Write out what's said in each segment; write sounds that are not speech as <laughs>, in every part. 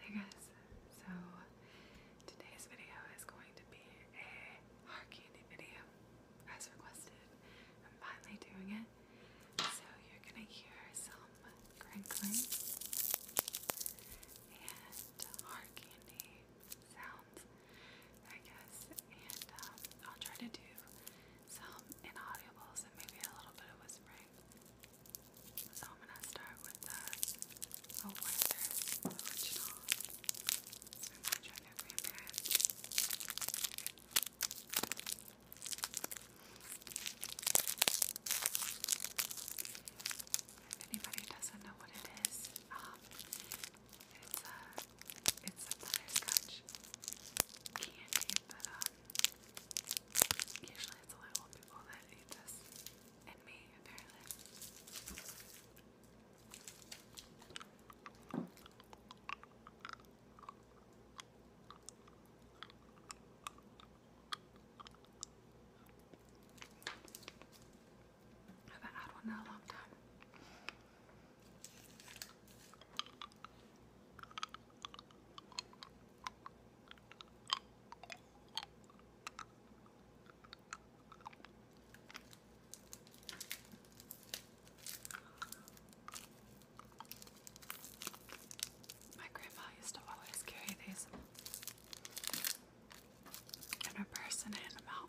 Hi guys, so today's video is going to be a hard candy video as requested. I'm finally doing it. So you're gonna hear some crinkling and hard candy sounds, I guess. And um, I'll try to do some inaudibles and maybe a little bit of whispering. So I'm gonna start with the a Werther's original. It's been my drug every marriage. If anybody doesn't know what it is, um, it's a it's a butterscotch candy, but um, Usually it's only old people that eat this. And me, apparently. haven't had one in a long time. My grandma used to always carry these in her purse and hand them out.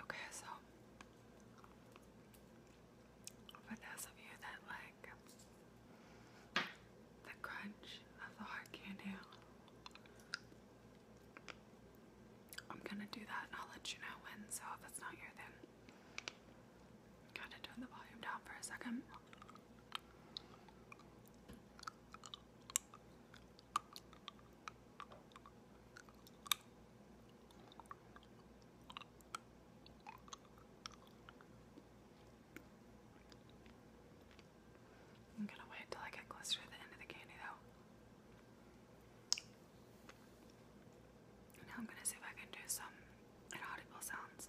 Okay, so for those of you that like the crunch of the hard candy, I'm gonna do that and I'll let you know when, so if it's not here then gotta turn the volume down for a second. I'm gonna wait till I get closer to the end of the candy though. Now I'm gonna see if I can do some inaudible sounds.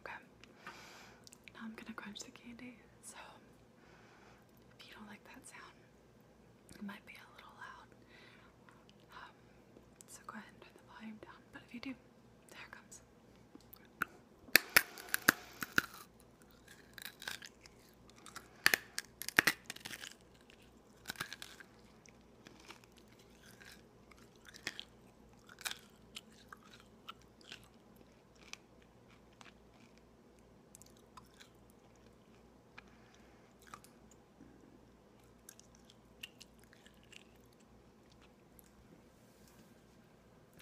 Okay. Now I'm gonna crunch the candy. So if you don't like that sound, it might be a little loud. Um, so go ahead and turn the volume down. But if you do, there comes. <sighs>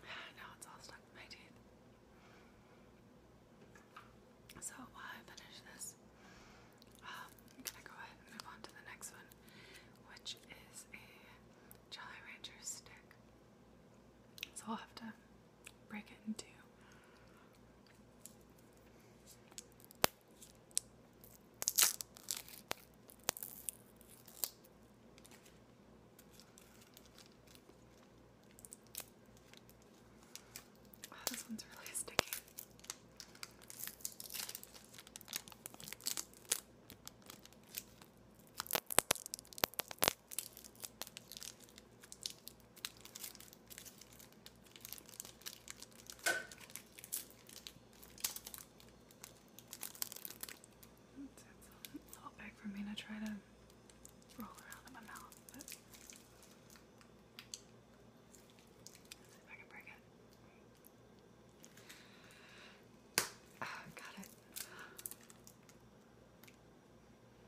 now it's all stuck in my teeth. So while I finish this, um, I'm gonna go ahead and move on to the next one, which is a Jolly Rancher stick. So I'll have to break it in two. Oh, this one's really <laughs> sticky. It's, it's a little big for me to try to roll around in my mouth, but see if I can break it. Ah, got it.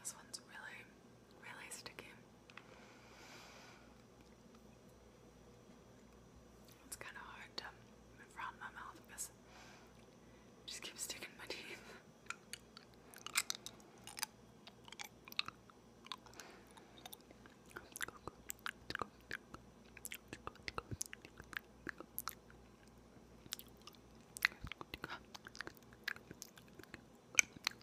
This one's really, really sticky. It's kind of hard to move around my mouth because it just keeps sticking my teeth.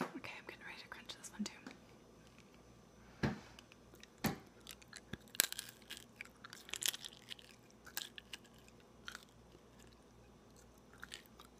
Okay, I'm getting ready to crunch this one too.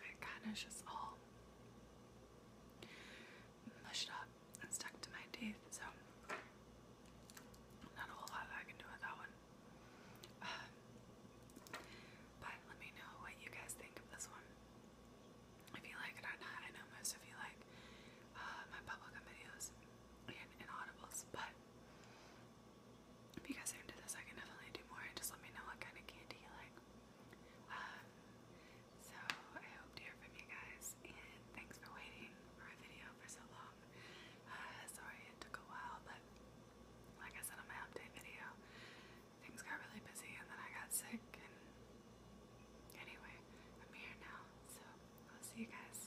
It kind of just all mushed up and stuck to my teeth, so not a whole lot I can do with that one. <sighs> but let me know what you guys think of this one. If you like it or not, I know most of you like uh, my bubblegum videos and, and but if you guys are into this, I can definitely do more. Just let me know what kind of candy you like. Um, so I hope to hear from you guys, and thanks for waiting for a video for so long. Uh, sorry it took a while, but like I said on my update video, things got really busy, and then I got sick. And anyway, I'm here now, so I'll see you guys